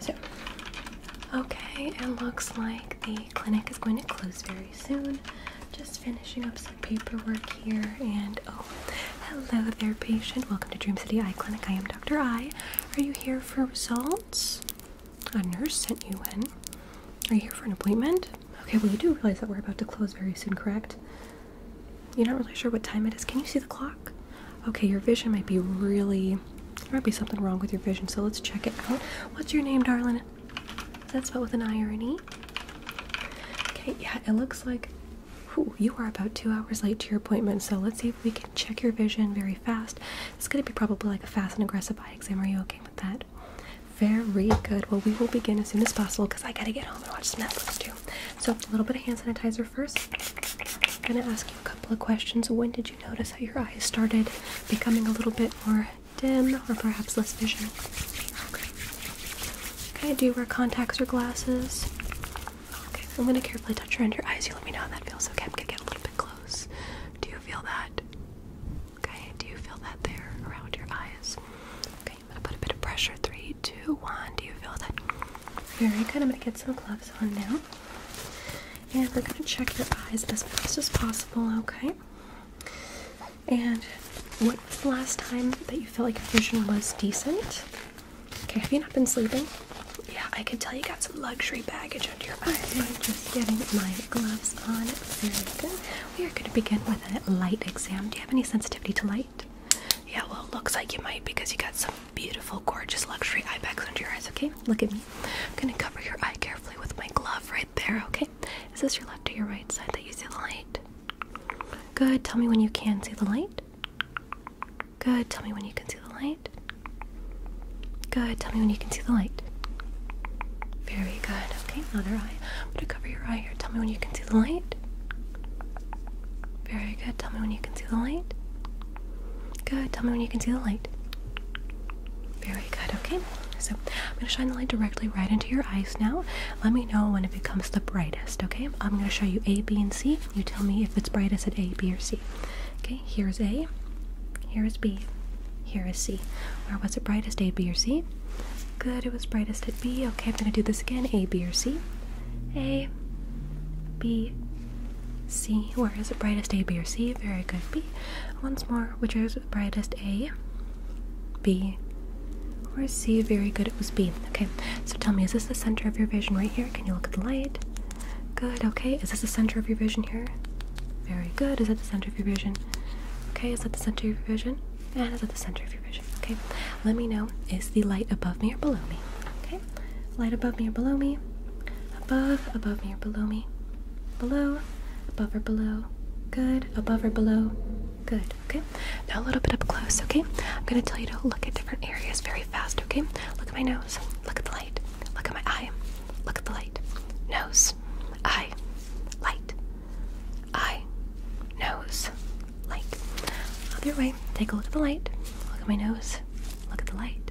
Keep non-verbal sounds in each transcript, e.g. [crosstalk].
So, okay, it looks like the clinic is going to close very soon. Just finishing up some paperwork here. And oh, hello there, patient. Welcome to Dream City Eye Clinic. I am Dr. I. Are you here for results? A nurse sent you in. Are you here for an appointment? Okay, well, you do realize that we're about to close very soon, correct? You're not really sure what time it is. Can you see the clock? Okay, your vision might be really. There might be something wrong with your vision, so let's check it out. What's your name, darling? Is that spelled with an I or an E? Okay, yeah, it looks like you are about two hours late to your appointment, so let's see if we can check your vision very fast. It's going to be probably like a fast and aggressive eye exam. Are you okay with that? Very good. Well, we will begin as soon as possible because I got to get home and watch some Netflix too. So, a little bit of hand sanitizer first. I'm going to ask you a couple of questions. When did you notice how your eyes started becoming a little bit more dim or perhaps less vision? Okay. Okay, do you wear contacts or glasses? Okay, I'm gonna carefully touch around your eyes. You let me know how that feels. Okay, I'm gonna get a little bit close. Do you feel that? Okay, do you feel that there around your eyes? Okay, I'm gonna put a bit of pressure. Three, two, one. Do you feel that? Very good. I'm gonna get some gloves on now and we're going to check your eyes as fast as possible, okay? And what was the last time that you felt like your vision was decent? Okay, have you not been sleeping? Yeah, I could tell you got some luxury baggage under your eyes. [laughs] I'm just getting my gloves on. We are going to begin with a light exam. Do you have any sensitivity to light? Yeah, well, it looks like you might because you got some beautiful, gorgeous, luxury eye bags under your eyes, okay? Look at me. I'm gonna cover your eye carefully with my glove right there, okay? Is this your left or your right side that you see the light? Good. Tell me when you can see the light. Good. Tell me when you can see the light. Good. Tell me when you can see the light. Very good. Okay, other eye. I'm gonna cover your eye here. Tell me when you can see the light. Very good. Tell me when you can see the light. Good. Tell me when you can see the light. Very good. Okay. So I'm going to shine the light directly right into your eyes now. Let me know when it becomes the brightest. Okay. I'm going to show you A, B, and C. You tell me if it's brightest at A, B, or C. Okay. Here's A. Here is B. Here is C. Where was it brightest? A, B, or C? Good. It was brightest at B. Okay. I'm going to do this again. A, B, or C. A, B, C. Where is it? brightest A, B, or C? Very good. B. Once more, which is the brightest A? B. Or C? Very good. It was B. Okay. So tell me, is this the center of your vision right here? Can you look at the light? Good. Okay. Is this the center of your vision here? Very good. Is that the center of your vision? Okay. Is that the center of your vision? And is that the center of your vision? Okay. Let me know. Is the light above me or below me? Okay light above me or below me. Above, above me or below me. Below, above or below. Good, above or below. Good, okay? Now a little bit up close, okay? I'm gonna tell you to look at different areas very fast, okay? Look at my nose, look at the light, look at my eye, look at the light. Nose, eye, light, eye, nose, light. Other way, take a look at the light, look at my nose, look at the light,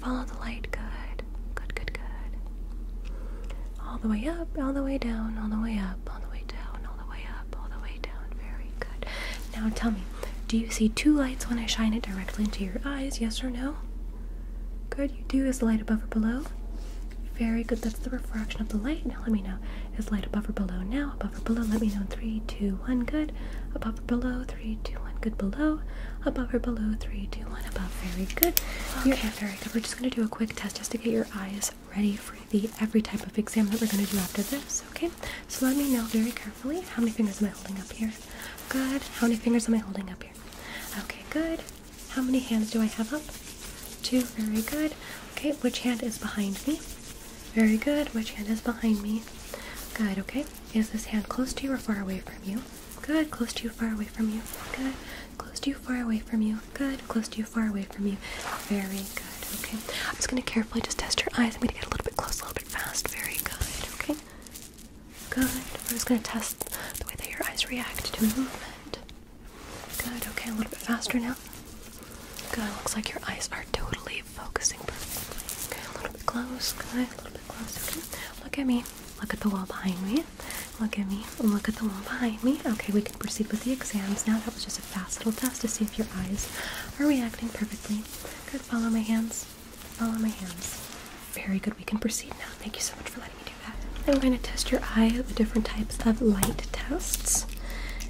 Follow the light. Good. Good, good, good. All the way up, all the way down, all the way up, all the way down, all the way up, all the way down. Very good. Now tell me, do you see two lights when I shine it directly into your eyes? Yes or no? Good. You do. Is the light above or below? Very good. That's the refraction of the light. Now let me know. Is light above or below now? Above or below? Let me know. Three, two, one. Good. Above or below? Three, two, one. Good. Below above or below three, two, one, above. Very good. Okay. Your very good. We're just gonna do a quick test just to get your eyes ready for the every type of exam that we're gonna do after this. Okay. So let me know very carefully how many fingers am I holding up here? Good. How many fingers am I holding up here? Okay, good. How many hands do I have up? Two. Very good. Okay, which hand is behind me? Very good. Which hand is behind me? Good, okay. Is this hand close to you or far away from you? Good. Close to you, far away from you. Good. Close to you, far away from you. Good. Close to you, far away from you. Very good. Okay. I'm just going to carefully just test your eyes. I'm going to get a little bit close, a little bit fast. Very good. Okay. Good. I'm just going to test the way that your eyes react to movement. Good. Okay. A little bit faster now. Good. Looks like your eyes are totally focusing Okay. A little bit close. Good. A little bit close. Okay. Look at me. Look at the wall behind me. Look at me. Look at the wall behind me. Okay, we can proceed with the exams now. That was just a fast little test to see if your eyes are reacting perfectly. Good. Follow my hands. Follow my hands. Very good. We can proceed now. Thank you so much for letting me do that. I'm going to test your eye with different types of light tests.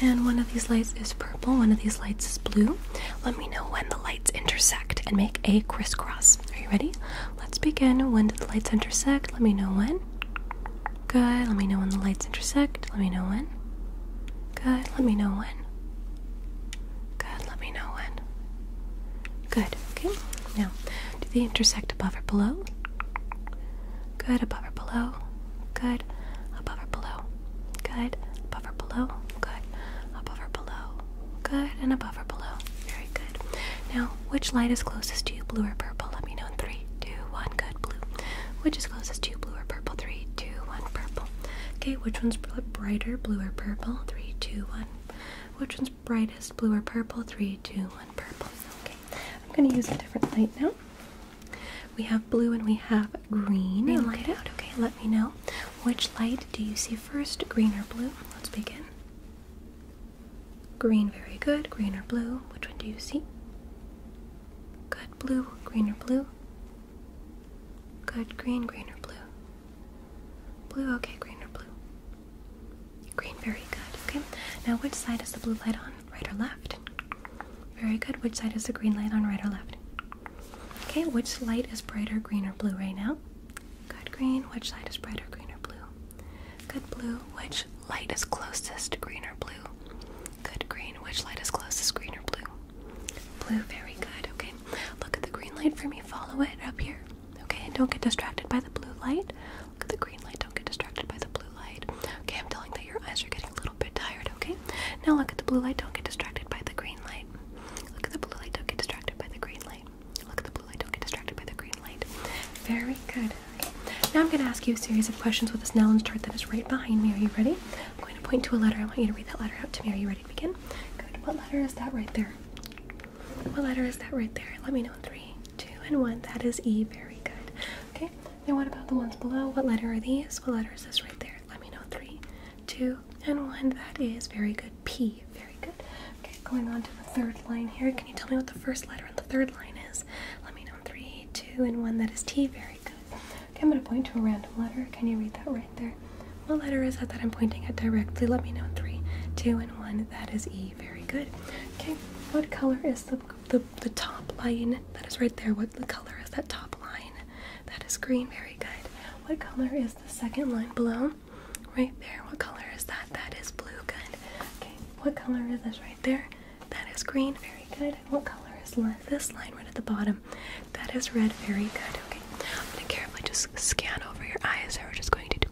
And one of these lights is purple, one of these lights is blue. Let me know when the lights intersect and make a crisscross. Are you ready? Let's begin. When do the lights intersect? Let me know when. Good. Let me know when the lights intersect. Let me know when. Good. Let me know when. Good. Let me know when. Good. Okay. Now, do they intersect above or below? Good. Above or below? Good. Above or below? Good. Above or below? Good. Above or below? Good. And above or below? Very now, which light is closest to you, blue or purple? Let me know in three, two, one. Good, blue. Which is closest to you, blue or purple? Three, two, one, purple. Okay, which one's brighter, blue or purple? Three, two, one. Which one's brightest, blue or purple? Three, two, one, purple. Okay, I'm gonna use a different light now. We have blue and we have green. green light out. Okay, let me know. Which light do you see first, green or blue? Let's begin. Green, very good. Green or blue? Which one do you see? Good, blue. Green or blue? Good, green, green or blue? Blue, okay, green or blue? Green, very good. Okay, now which side is the blue light on? Right or left? Very good. Which side is the green light on? Right or left? Okay, which light is brighter, green or blue right now? Good green, which light is brighter, green or blue? Good blue, which light is closest, green or blue? Good green, which light is closest, green or blue? Blue, very good. Okay, look at the green light for me, follow it up here. Okay, and don't get distracted by the blue light. Look at the green light, don't get distracted by the blue light. Okay, I'm telling that your eyes are getting a little bit tired, okay? Now look at the blue light, don't get distracted by the green light. Look at the blue light, don't get distracted by the green light. Look at the blue light, don't get distracted by the green light. Very good. Now I'm going to ask you a series of questions with this Nellens chart that is right behind me. Are you ready? I'm going to point to a letter. I want you to read that letter out to me. Are you ready to begin? Good. What letter is that right there? What letter is that right there? Let me know three, two, and one. That is E. Very good. Okay. Now what about the ones below? What letter are these? What letter is this right there? Let me know. Three, two, and one. That is very good. P. Very good. Okay, going on to the third line here. Can you tell me what the first letter in the third line is? Let me know. Three, two, and one. That is T. Very good. Okay, I'm going to point to a random letter. Can you read that right there? What letter is that that I'm pointing at directly? Let me know. Three, two, and one. That is E. Very good. Okay, what color is the the, top line that is right there? What the color is that top line? That is green. Very good. What color is the second line below? Right there. What color is that? That is blue. Good. Okay. What color is this right there? That is green. Very good. what color is this line right at the bottom? That is red. Very good. Okay. I'm going to carefully just scan over your eyes here. We're just going to do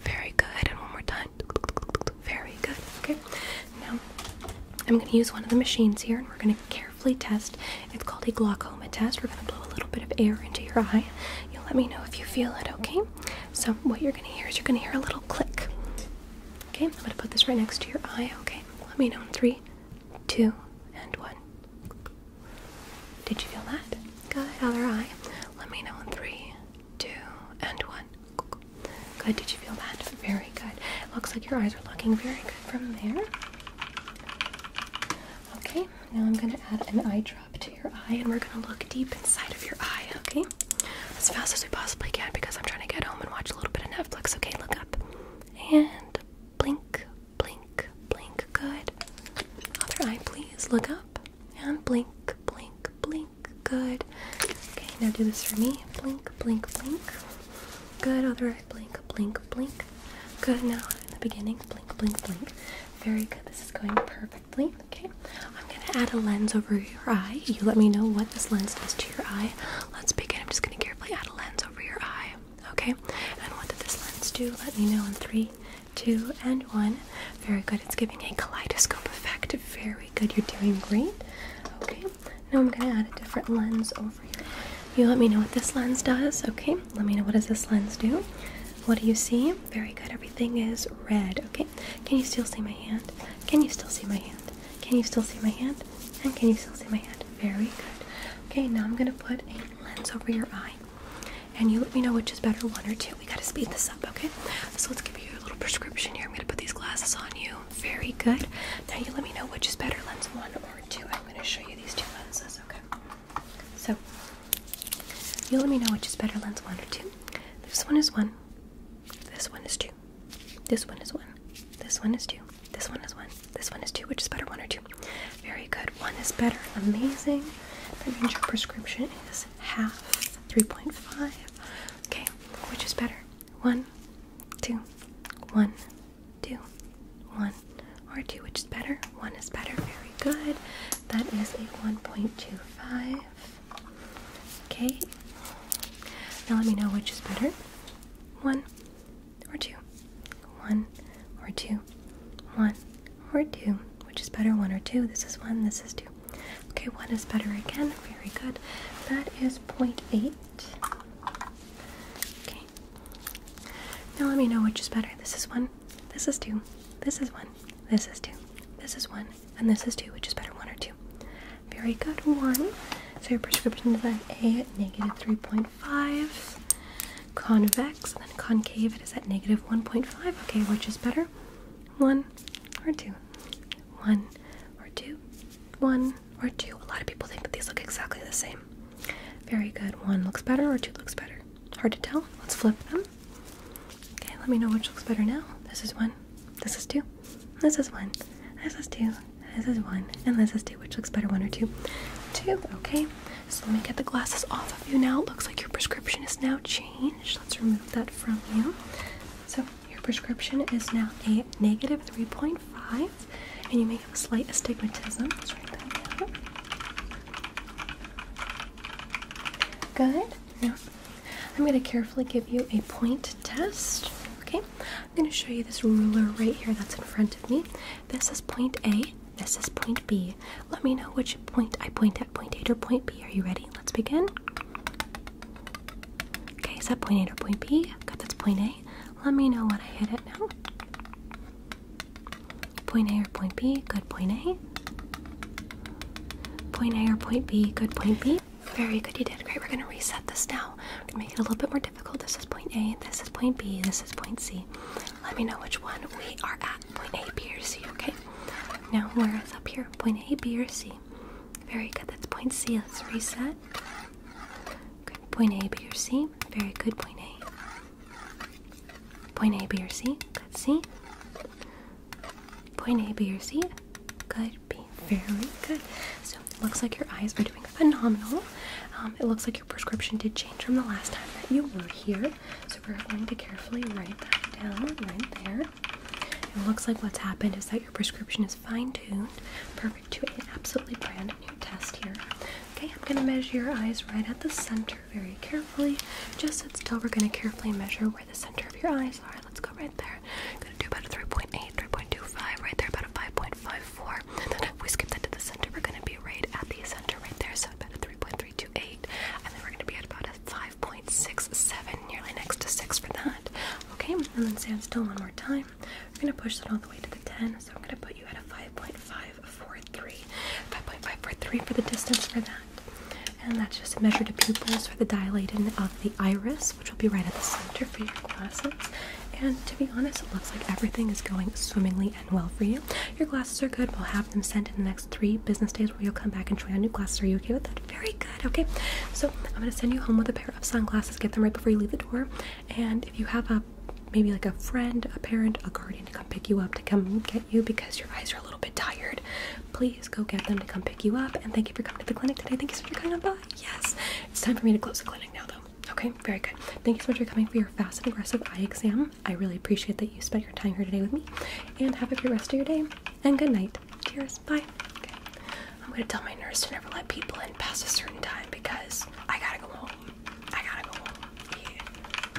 very good. And one more time. Very good. Okay. Now, I'm going to use one of the machines here and we're going to carefully test. It's called a glaucoma we're going to blow a little bit of air into your eye. you let me know if you feel it, okay? So, what you're going to hear is you're going to hear a little click. Okay, I'm going to put this right next to your eye, okay? Let me know in three, two, and one. Did you feel that? Good, other eye. Let me know in three, two, and one. Good, did you feel that? Very good. It Looks like your eyes are looking very good from there. Okay, Okay, now I'm going to add an eye drop to your eye and we're going to look deep inside of your eye, okay? As fast as we possibly can because I'm trying to get home and watch a little bit of Netflix. Okay, look up. And blink, blink, blink. Good. Other eye, please. Look up. And blink, blink, blink. Good. Okay, now do this for me. Blink, blink, blink. Good. Other eye, blink, blink, blink. Good. Now in the beginning, blink, blink, blink. Very good. This is going perfectly. Okay. I'm gonna add a lens over your eye. You let me know what this lens does to your eye. Let's begin. I'm just gonna carefully add a lens over your eye. Okay. And what did this lens do? Let me know in three, two, and one. Very good. It's giving a kaleidoscope effect. Very good. You're doing great. Okay. Now I'm gonna add a different lens over your You let me know what this lens does. Okay. Let me know what does this lens do. What do you see? Very good. Everything is red. Okay. Can you still see my hand? Can you still see my hand? Can you still see my hand? And can you still see my hand? Very good. Okay, now I'm gonna put a lens over your eye. And you let me know which is better, one or two. We gotta speed this up, okay? So let's give you a little prescription here. I'm gonna put these glasses on you. Very good. Now you let me know which is better, lens one or two. I'm gonna show you these two lenses, okay? So you let me know which is better, lens one or two. This one is one. This one is two. This one is one. This one is two. This one is one. This one is two. Which is better, one or two? Very good. One is better. Amazing. That means your prescription is half, 3.5. Okay, which is better? One, two, one, two, one, or two, which is better? One is better, very good. That is a 1.25. Okay, now let me know which is better one or two, one or two, one or two. Which is better, one or two? This is one, this is two. Okay, one is better again, very good. That is 0.8. Okay, now let me know which is better. This is one, this is two, this is one, this is two. This is one. And this is two, which is better, one or two. Very good, one. So your prescription is at A at negative 3.5. Convex, and then concave, it is at negative 1.5. Okay, which is better? One or two? One or two? One or two? A lot of people think that these look exactly the same. Very good. One looks better or two looks better? Hard to tell. Let's flip them. Okay, let me know which looks better now. This is one. This is two. This is one. This is two. This is one. And this is two. Which looks better, one or two? Two. Okay. So let me get the glasses off of you now. It looks like your prescription has now changed. Let's remove that from you. So your prescription is now a negative 3.5, and you may have a slight astigmatism. Let's write that down. Good. Now, I'm going to carefully give you a point test. Okay, I'm going to show you this ruler right here that's in front of me. This is point A. This is point B. Let me know which point I point at. Point A or point B. Are you ready? Let's begin. Okay, is that point A or point B? Got that's point A. Let me know when I hit it now. Point A or point B, good point A. Point A or point B, good point B. Very good, you did great. We're going to reset this now. We're going to make it a little bit more difficult. This is point A, this is point B, this is point C. Let me know which one we are at. Point A, B, or C, okay? Now, where is up here? Point A, B, or C? Very good, that's point C. Let's reset. Good, point A, B, or C? Very good, point A. Point A, B, or C. Good C. Point A, B, or C. Good B. Very good. So it looks like your eyes are doing phenomenal. Um, it looks like your prescription did change from the last time that you were here. So we're going to carefully write that down right there. It looks like what's happened is that your prescription is fine-tuned, perfect to an absolutely brand new test here. Okay, I'm gonna measure your eyes right at the center very carefully. Just sit still. We're going to carefully measure where the center of your eyes are. Let's go right there. I'm going to do about a 3.8, 3.25, right there, about a 5.54. then we skip that to the center, we're going to be right at the center right there. So about a 3.328. And then we're going to be at about a 5.67, nearly next to 6 for that. Okay, and then stand still one more time. We're going to push that all the way to the 10. So I'm going to put you at a 5.5 4 and for the distance for that. And that's just a measure to pupils for the dilating of the iris, which will be right at the center for your glasses. And to be honest, it looks like everything is going swimmingly and well for you. Your glasses are good. We'll have them sent in the next three business days where you'll come back and try on new glasses. Are you okay with that? Very good. Okay. So I'm going to send you home with a pair of sunglasses. Get them right before you leave the door. And if you have a maybe like a friend, a parent, a guardian to come pick you up to come get you because your eyes are a little bit tired, please go get them to come pick you up. And thank you for coming to the clinic today. Thank you so much for coming Yes, it's time for me to close the clinic now, though. Okay, very good. Thank you so much for coming for your fast and aggressive eye exam. I really appreciate that you spent your time here today with me. And have a great rest of your day. And good night. Cheers. Bye. I'm gonna tell my nurse to never let people in past a certain time because I gotta go home. I gotta go home. Yeah.